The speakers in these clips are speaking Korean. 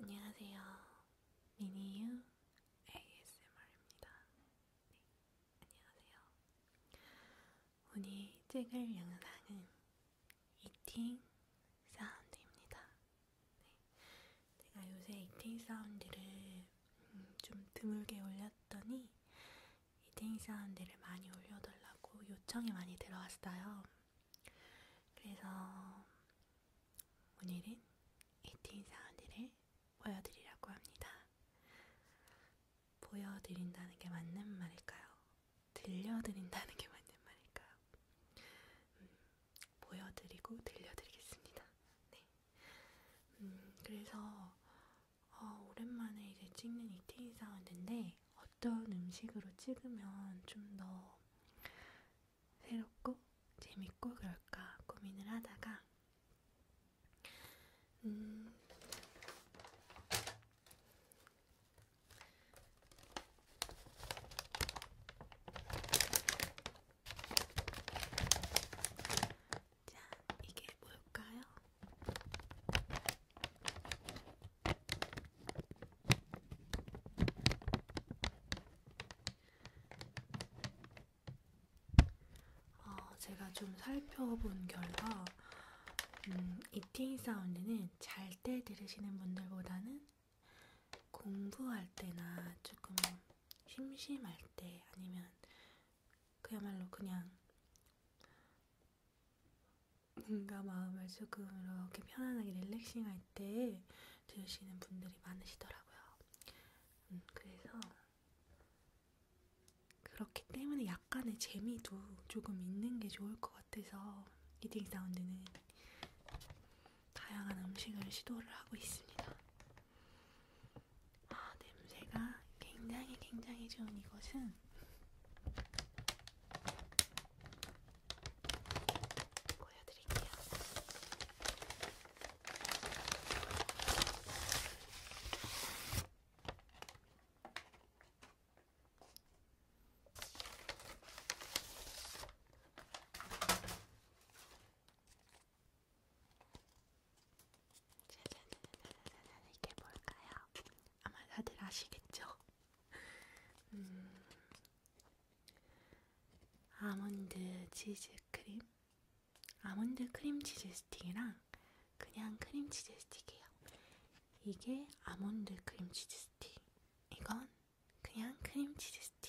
안녕하세요. 미니유 ASMR입니다. 네, 안녕하세요. 오늘 찍을 영상은 이팅 사운드입니다. 네, 제가 요새 이팅 사운드를 음, 좀 드물게 올렸더니 이팅 사운드를 많이 올려달라고 요청이 많이 들어왔어요. 그래서 오늘은 에이틴 사원들을 보여드리려고 합니다. 보여드린다는 게 맞는 말일까요? 들려드린다는 게 맞는 말일까요? 음, 보여드리고 들려드리겠습니다. 네. 음, 그래서 어, 오랜만에 이제 찍는 이태인 사운드인데 어떤 음식으로 찍으면 좀 더 새롭고 재밌고 그럴까 고민을 하다가 음, 자, 이게 뭘까요? 어, 제가 좀 살펴본 결과 음, 이팅 사운드는 잘 때 들으시는 분들보다는 공부할 때나 조금 심심할 때 아니면 그야말로 그냥 뭔가 마음을 조금 이렇게 편안하게 릴렉싱 할때 들으시는 분들이 많으시더라고요. 음, 그래서 그렇기 때문에 약간의 재미도 조금 있는 게 좋을 것 같아서 이딩 사운드는 다양한 음식을 시도를 하고 있습니다. 아, 냄새가 굉장히 굉장히 좋은 이것은 보여드릴게요. 짜잔, 이게 뭘까요? 아마 다들 아시겠죠? 음, 아몬드 치즈 크림, 아몬드 크림 치즈 스틱이랑 그냥 크림 치즈 스틱이에요. 이게 아몬드 크림 치즈 스틱, 이건 그냥 크림 치즈 스틱.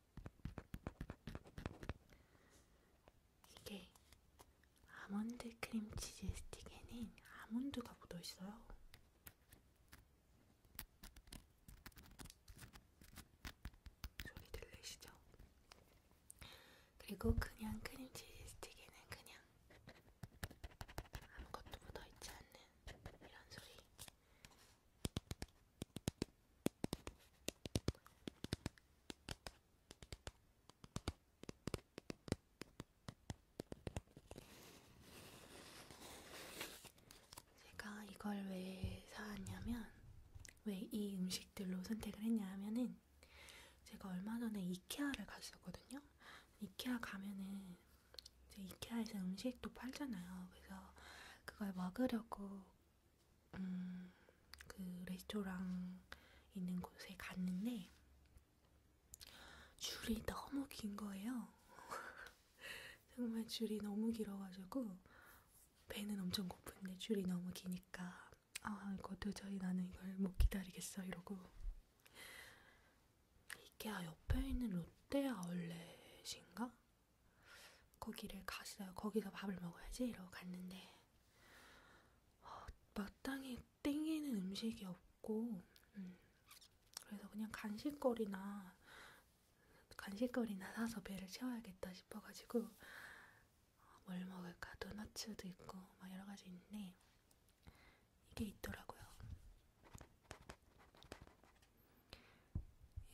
이게 아몬드 크림치즈 스틱에는 아몬드가 묻어있어요. 소리 들리시죠? 그리고 그냥 크림치즈 스틱에는 그냥 아무것도 묻어있지 않는 이런 소리. 제가 이걸 왜 사왔냐면, 왜 이 음식들로 선택을 했냐 하면은, 제가 얼마 전에 이케아를 갔었거든요. 이케아 가면은, 이케아에서 음식도 팔잖아요. 그래서 그걸 먹으려고 음, 그 레스토랑 있는 곳에 갔는데 줄이 너무 긴 거예요. 정말 줄이 너무 길어가지고 배는 엄청 고픈데 줄이 너무 기니까 아 이거 도저히 나는 이걸 못 기다리겠어 이러고 이게 옆에 있는 롯데아울렛인가? 거기를 갔어요. 거기서 밥을 먹어야지 이러고 갔는데 어, 마땅히 땡기는 음식이 없고 음, 그래서 그냥 간식거리나 간식거리나 사서 배를 채워야겠다 싶어가지고 뭘 먹을까 도너츠도 있고 막 여러 가지 있는데 이게 있더라고요.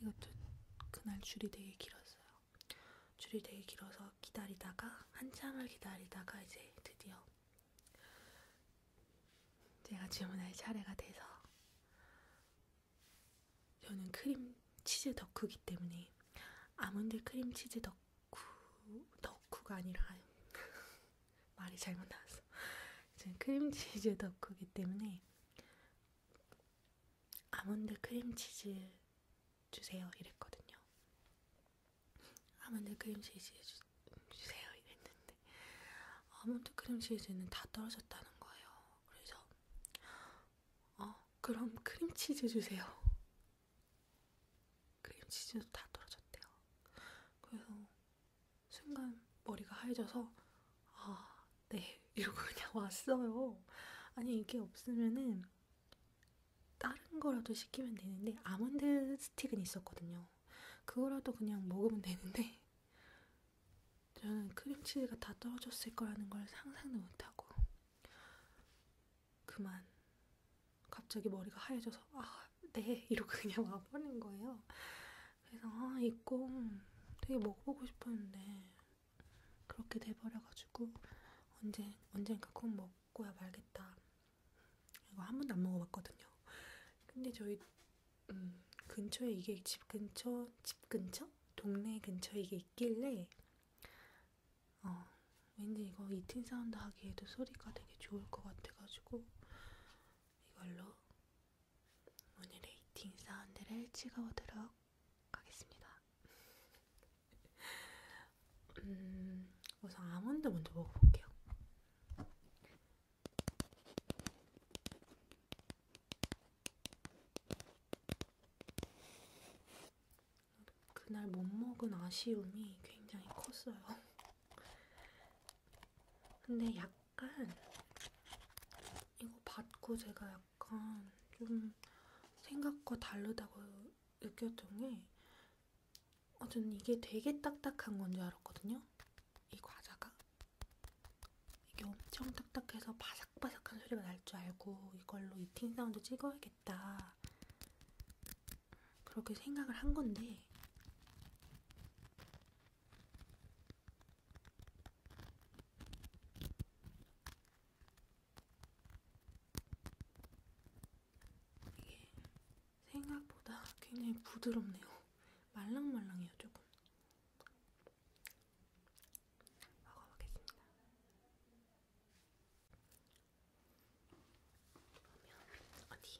이것도 그날 줄이 되게 길었어요. 줄이 되게 길어서 기다리다가 한참을 기다리다가 이제 드디어 제가 주문할 차례가 돼서 저는 크림 치즈 덕후기 때문에 아몬드 크림 치즈 덕후 덕후가 아니라 말이 잘못 나왔어. 저는 크림 치즈 덕후기 때문에 아몬드 크림치즈 주세요 이랬거든요. 아몬드 크림치즈 주, 주세요 이랬는데 아몬드 크림치즈는 다 떨어졌다는 거예요. 그래서 어 그럼 크림치즈 주세요. 크림치즈도 다 떨어졌대요. 그래서 순간 머리가 하얘져서 아, 네 이러고 그냥 왔어요. 아니 이게 없으면은 다른 거라도 시키면 되는데 아몬드 스틱은 있었거든요. 그거라도 그냥 먹으면 되는데 저는 크림치즈가 다 떨어졌을 거라는 걸 상상도 못하고 그만 갑자기 머리가 하얘져서 아, 네 이러고 그냥 와버린 거예요. 그래서 아, 이꼼 되게 먹어보고 싶었는데 그렇게 돼버려가지고 언제 언젠가 꼼 먹고야 말겠다. 이거 한 번도 안 먹어봤거든요. 근데 저희 음, 근처에 이게 집 근처 집 근처 동네 근처에 이게 있길래 어 왠지 이거 이팅 사운드 하기에도 소리가 되게 좋을 것 같아가지고 이걸로 오늘 레이팅 사운드를 찍어보도록 하겠습니다. 음, 우선 아몬드 먼저 먹어볼게요. 그날 못 먹은 아쉬움이 굉장히 컸어요. 근데 약 약간 이거 받고 제가 약간 좀 생각과 다르다고 느꼈던 게 어, 저는 이게 되게 딱딱한 건 줄 알았거든요. 이 과자가. 이게 엄청 딱딱해서 바삭바삭한 소리가 날 줄 알고 이걸로 이팅 사운드 찍어야겠다. 그렇게 생각을 한 건데 이게 생각보다 굉장히 부드럽네요. 말랑말랑해요, 조금. 먹어보겠습니다. 그러면 어디?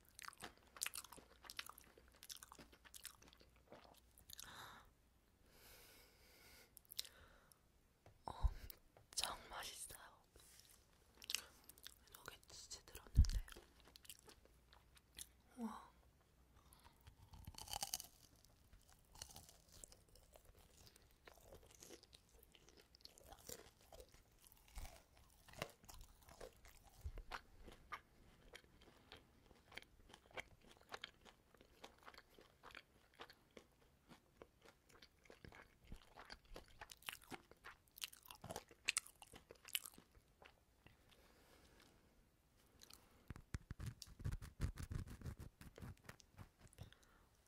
엄청 어, 맛있어요. 여기 치즈 들었는데, 와.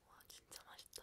와 진짜 맛있다.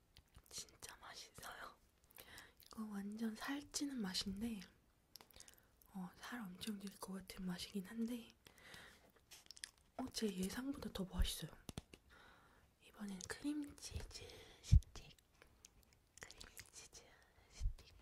진짜 맛있어요. 이거 완전 살찌는 맛인데, 어, 살 엄청 찔것 같은 맛이긴 한데, 어, 제 예상보다 더 맛있어요. 이번엔 크림치즈 스틱. 크림치즈 스틱.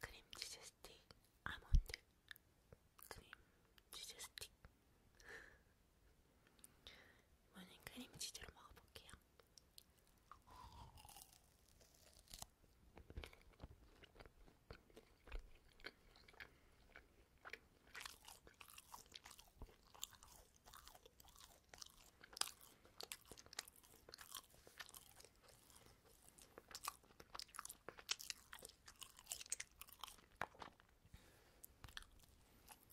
크림 치즈 스틱 아몬드 크림 치즈 스틱 이번엔 크림치즈로 먹어볼게요.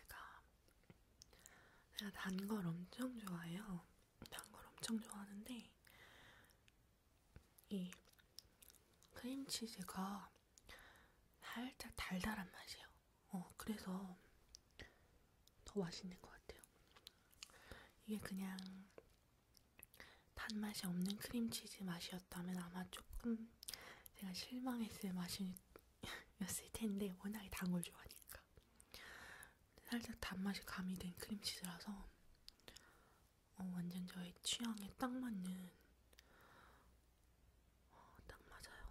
제가 제가 단 걸 엄청 좋아해요. 단 걸 엄청 좋아하는데 이 크림치즈가 살짝 달달한 맛이에요. 어, 그래서 더 맛있는 것 같아요. 이게 그냥 단맛이 없는 크림치즈 맛이었다면 아마 조금 제가 실망했을 맛이 였을 텐데 워낙에 단걸 좋아하니까 살짝 단맛이 가미된 크림치즈라서 어, 완전 저의 취향에 딱 맞는 어, 딱 맞아요.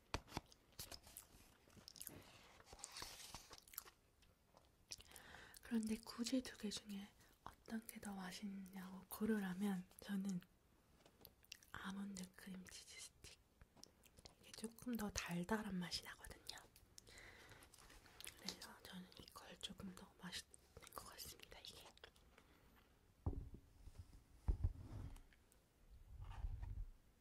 그런데 굳이 두 개 중에 어떤 게 더 맛있냐고 고르라면 저는 아몬드 크림치즈 스틱. 이게 조금 더 달달한 맛이 나거든요. 그래서 저는 이걸 조금 더 맛있는 것 같습니다. 이게.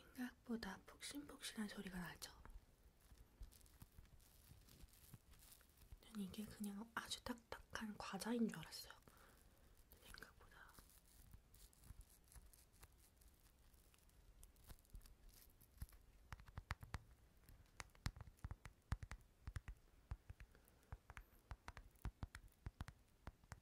생각보다 폭신폭신한 소리가 나죠. 전 이게 그냥 아주 딱딱한 과자인 줄 알았어요. 생각보다.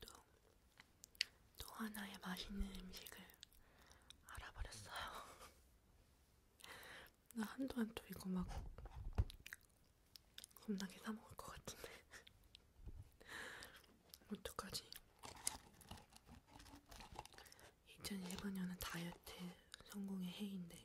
또, 또 하나의 맛있는 음식을 알아버렸어요. 나 한동안 또 이거 막 겁나게 사먹을 것 같은데. 어떡하지? 2015년은 다이어트 성공의 해인데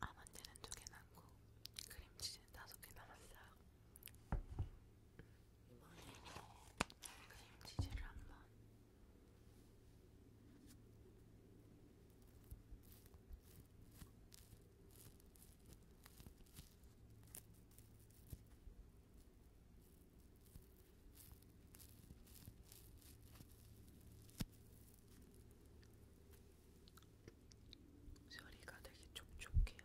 아몬드는 두 개 남고 크림치즈는 다섯 개 남았어요. 이번에는 크림치즈를 한번 소리가 되게 촉촉해요.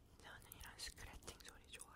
저는 이런 스크래칭 소리 좋아해요.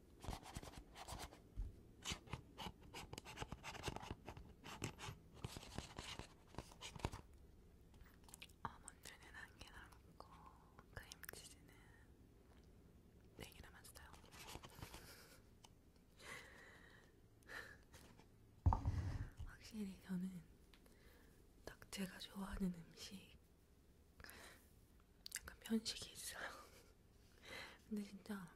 아몬드는 한개 남았고 크림치즈는 네개 남았어요. 확실히 저는 딱 제가 좋아하는 음식 약간 편식이 있어요. 근데 진짜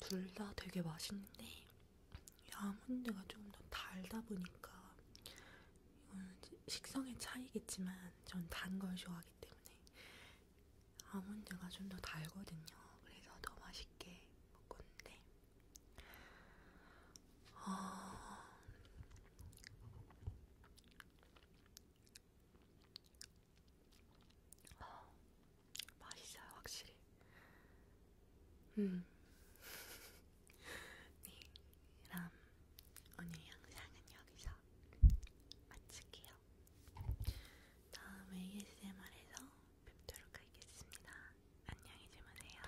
둘 다 되게 맛있는데 아몬드가 조금 더 달다 보니까 이거는 식성의 차이겠지만 전 단 걸 좋아하기 때문에 아몬드가 좀 더 달거든요. 그래서 더 맛있게 먹었는데 어... 어, 맛있어요, 확실히. 음. 네, 그럼 오늘 영상은 여기서 마칠게요. 다음 ASMR에서 뵙도록 하겠습니다. 안녕히 주무세요.